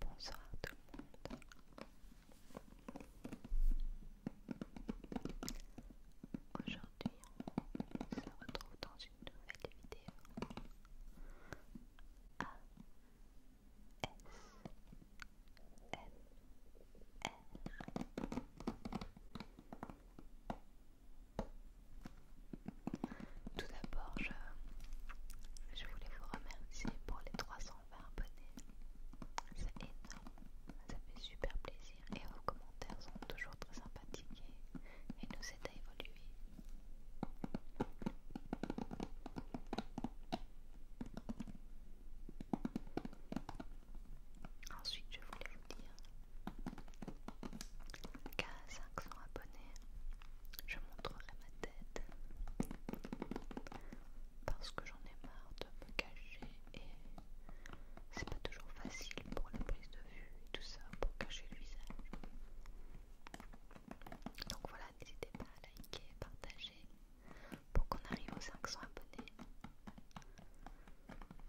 Bonsoir tout le monde. Aujourd'hui, on se retrouve dans une nouvelle vidéo. A tout d'abord, je, voulais vous remercier pour les 320 abonnés. C'est énorme, ça fait super plaisir et vos commentaires sont toujours très sympathiques et, nous aide à évoluer. Ensuite, je voulais vous dire Qu'à 500 abonnés, je montrerai ma tête parce que j'en ai marre de me cacher et c'est pas toujours facile pour la prise de vue et tout ça pour cacher le visage. Donc voilà, n'hésitez pas à liker, partager pour qu'on arrive aux 500 abonnés. Ensuite, ensuite,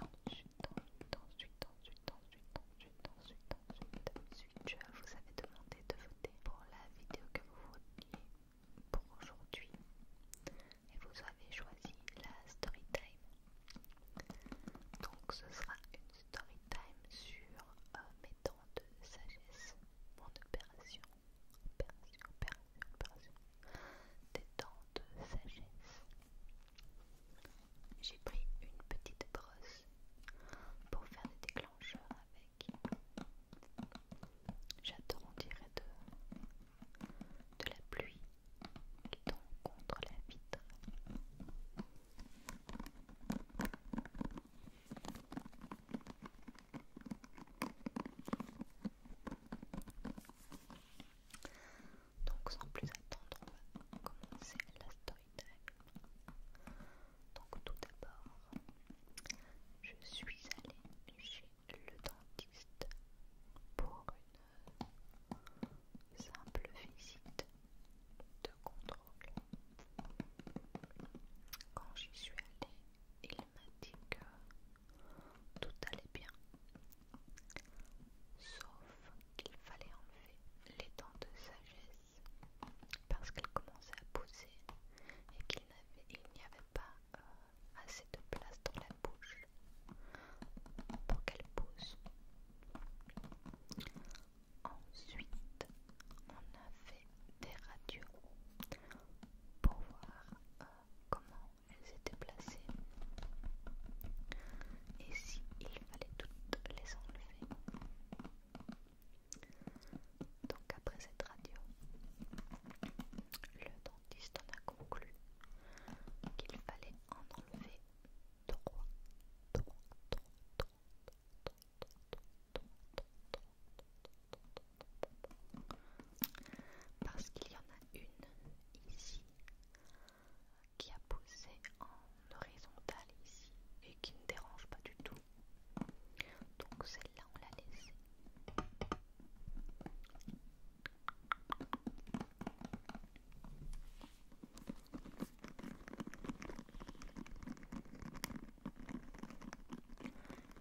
ensuite, ensuite, ensuite, ensuite, ensuite, ensuite, ensuite, je vous avais demandé de voter pour la vidéo que vous vouliez pour aujourd'hui et vous avez choisi la story time. Donc ce sera une story time sur euh, mes temps de sagesse, mon opération des temps de sagesse. J'ai pris une petite brosse pour faire des déclencheurs avec. J'attends, on dirait de, de la pluie qui tombe contre la vitre. Donc sans plus attendre, on va commencer la story Donc tout d'abord, je suis allée chez le dentiste pour une simple visite de contrôle. Quand j'y suis allée, il m'a dit que tout allait bien, sauf qu'il fallait enlever les dents de sagesse parce qu'elles commençaient à pousser et qu'il n'y avait pas euh, assez de place dans la bouche pour qu'elles poussent. Ensuite, on a fait des radios pour voir euh, comment elles étaient placées et si fallait toutes les enlever. Donc après cette radio, le dentiste en a conclu qu'il fallait en enlever trois 3, 3, 3, parce qu'il y en a une ici qui a poussé en horizontal ici et qui ne dérange pas du tout. Donc celle-là, on l'a laissée.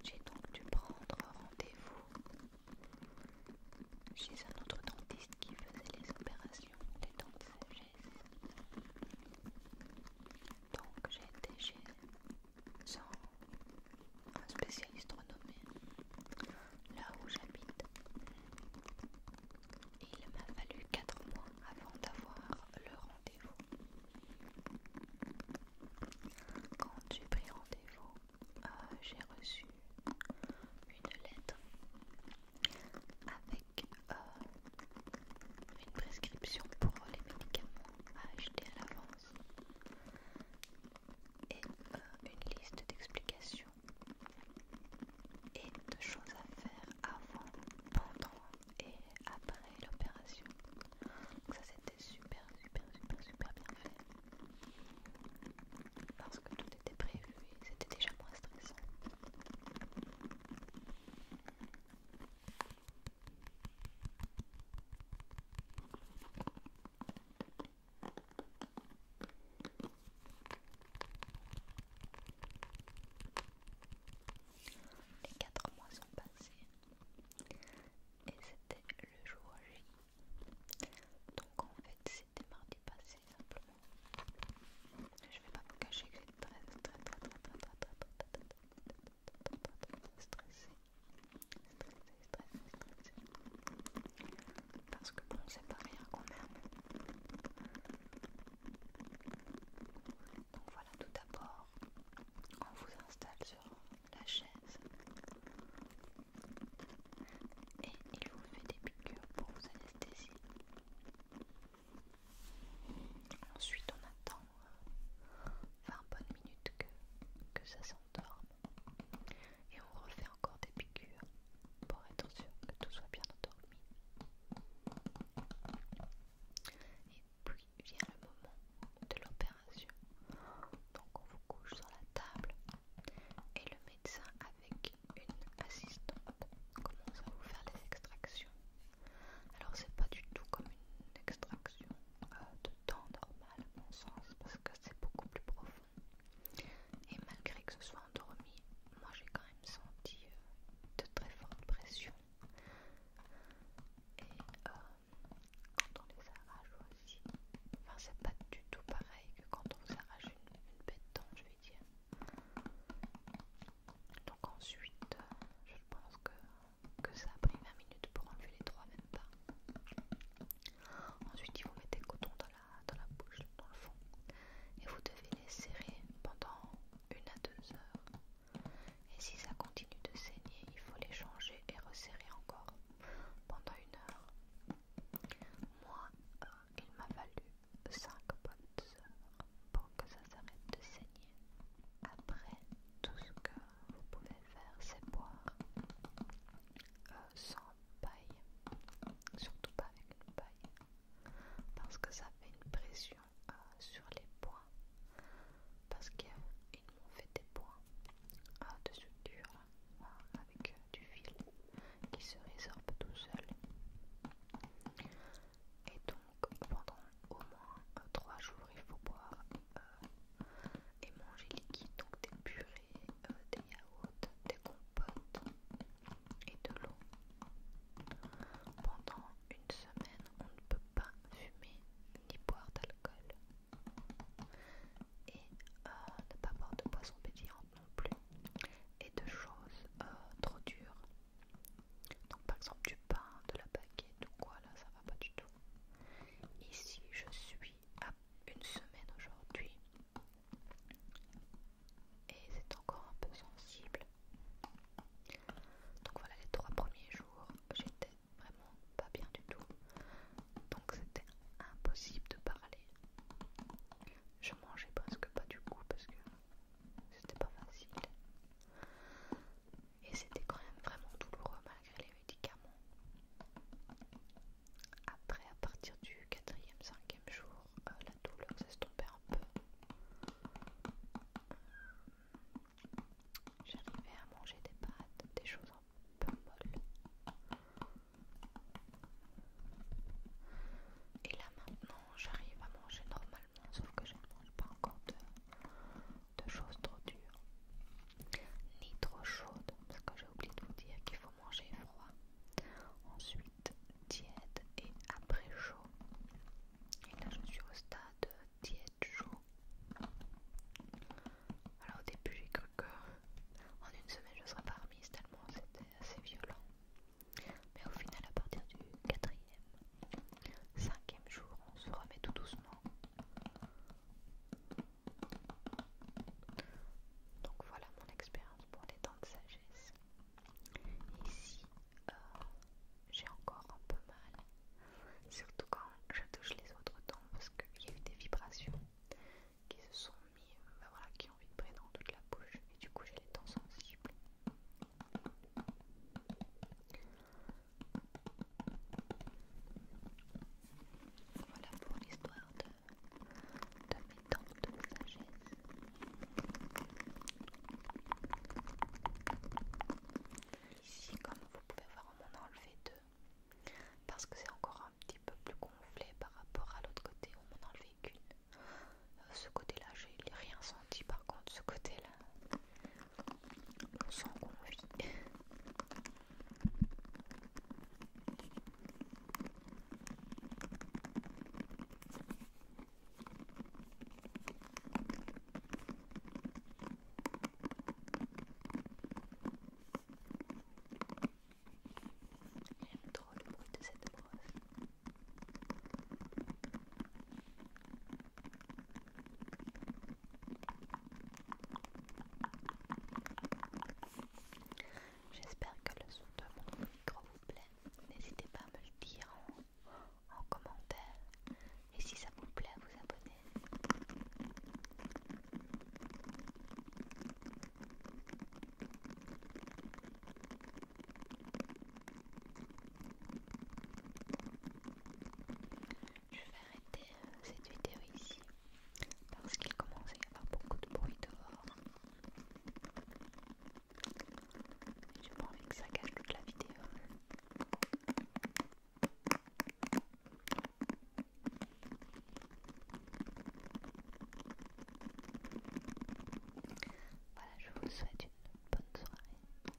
J'ai donc dû prendre rendez-vous chez un autre dentiste qui faisait les opérations des dents de sagesse. Donc j'ai été chez un spécialiste renommé là où j'habite. Il m'a fallu 4 mois avant d'avoir le rendez-vous. Quand j'ai pris rendez-vous, euh, j'ai reçu une lettre avec euh, une prescription pour les médicaments à acheter à l'avance et euh, une liste d'explications et de choses à faire avant, pendant et après l'opération. Donc ça c'était super super super super bien fait. Parce que tout était prévu et c'était déjà moins stressant. Les quatre mois sont passés et c'était le jour J. Donc en fait c'était mardi passé simplement. Je vais pas vous cacher que très parce que bon, c'est pas rien qu'on aime. Donc voilà, tout d'abord, on vous installe sur la chaise et il vous fait des piqûres pour vous anesthésier. Ensuite, on attend 20 euh, bonnes minutes que, que ça s'endorme et on refait encore des piqûres pour être sûr que tout soit bien endormi. Et puis vient le moment de l'opération. Donc on vous couche sur la table et le médecin avec une assistante commence à vous faire les extractions. Alors c'est pas du tout comme une extraction euh, de temps normal à mon sens parce que c'est beaucoup plus profond. Et malgré que ce soit endormi, moi j'ai quand même senti euh, de très fortes pressions. Et euh, quand on les arrache aussi, enfin c'est pas du tout pareil que quand on vous arrache une, bête je vais dire. Donc ensuite, euh, je pense que, ça a pris 20 minutes pour enlever les trois, même pas. Ensuite, ils vous mettent des cotons dans dans la bouche, dans le fond. Et vous devez les serrer pendant une à deux heures. Et si ça continue de saigner, il faut les changer et resserrer encore pendant une heure. Moi, euh, il m'a valu 5 bonnes heures pour que ça s'arrête de saigner. Après, tout ce que vous pouvez faire, c'est boire euh, sans paille, surtout pas avec une paille, parce que ça fait une pression euh, sur les points, parce qu'ils m'ont fait des points euh, de suture euh, avec du fil qui se résorbe tout seul. Et donc pendant au moins 3 jours, il faut boire et manger liquide, donc des purées des yaourts, des compotes et de l'eau. Pendant une semaine, on ne peut pas fumer ni boire d'alcool et euh, ne pas boire de poissons pétillantes non plus et de choses euh, trop dures. Donc par exemple du pain, de la baguette ou quoi là, ça va pas du tout. Ici, je suis à une semaine aujourd'hui et c'est encore un peu sensible. Donc voilà, les trois premiers jours, j'étais vraiment pas bien du tout. Donc c'était impossible de parler. Je mangeais presque pas du coup parce que c'était pas facile. Et c'était quand même vraiment douloureux les médicaments. Après, à partir du quatrième, cinquième jour, euh, la douleur s'estompait un peu. J'arrivais à manger des pâtes, des choses un peu molles. Et là maintenant, j'arrive à manger normalement, sauf que je ne mange pas encore de choses trop dures, ni trop chaudes, parce que j'ai oublié de vous dire qu'il faut manger froid, ensuite tiède et après chaud. Et là je suis au stade tiède chaud. Alors au début j'ai cru que en une semaine je serais pas remise tellement c'était assez violent. Mais au final à partir du quatrième, cinquième jour on se remet tout doucement. Donc voilà mon expérience pour les dents de sagesse. ici euh, j'ai encore un peu mal, surtout quand je touche les autres dents parce qu'il y a eu des vibrations qui se sont mises, euh, bah qui ont vibré dans toute la bouche et du coup j'ai les dents sensibles. Voilà pour l'histoire de, mes dents de sagesse. Ici, comme vous pouvez voir, on m'en a enlevé deux parce que c'est encore un petit peu plus gonflé par rapport à l'autre côté où on m'en a enlevé qu'une. Euh, ce côté-là, j'ai rien senti par contre. Ce côté-là, on s'en confie. Et trop le de cette brosse. J'espère que le son de mon micro vous plaît. N'hésitez pas à me le dire en, commentaire. Et si ça vous plaît, vous abonnez. Je vais arrêter euh, cette vidéo ici parce qu'il commence à y avoir beaucoup de bruit dehors. Je pas envie que ça gâche toute la vidéo. Voilà, je vous souhaite une bonne soirée.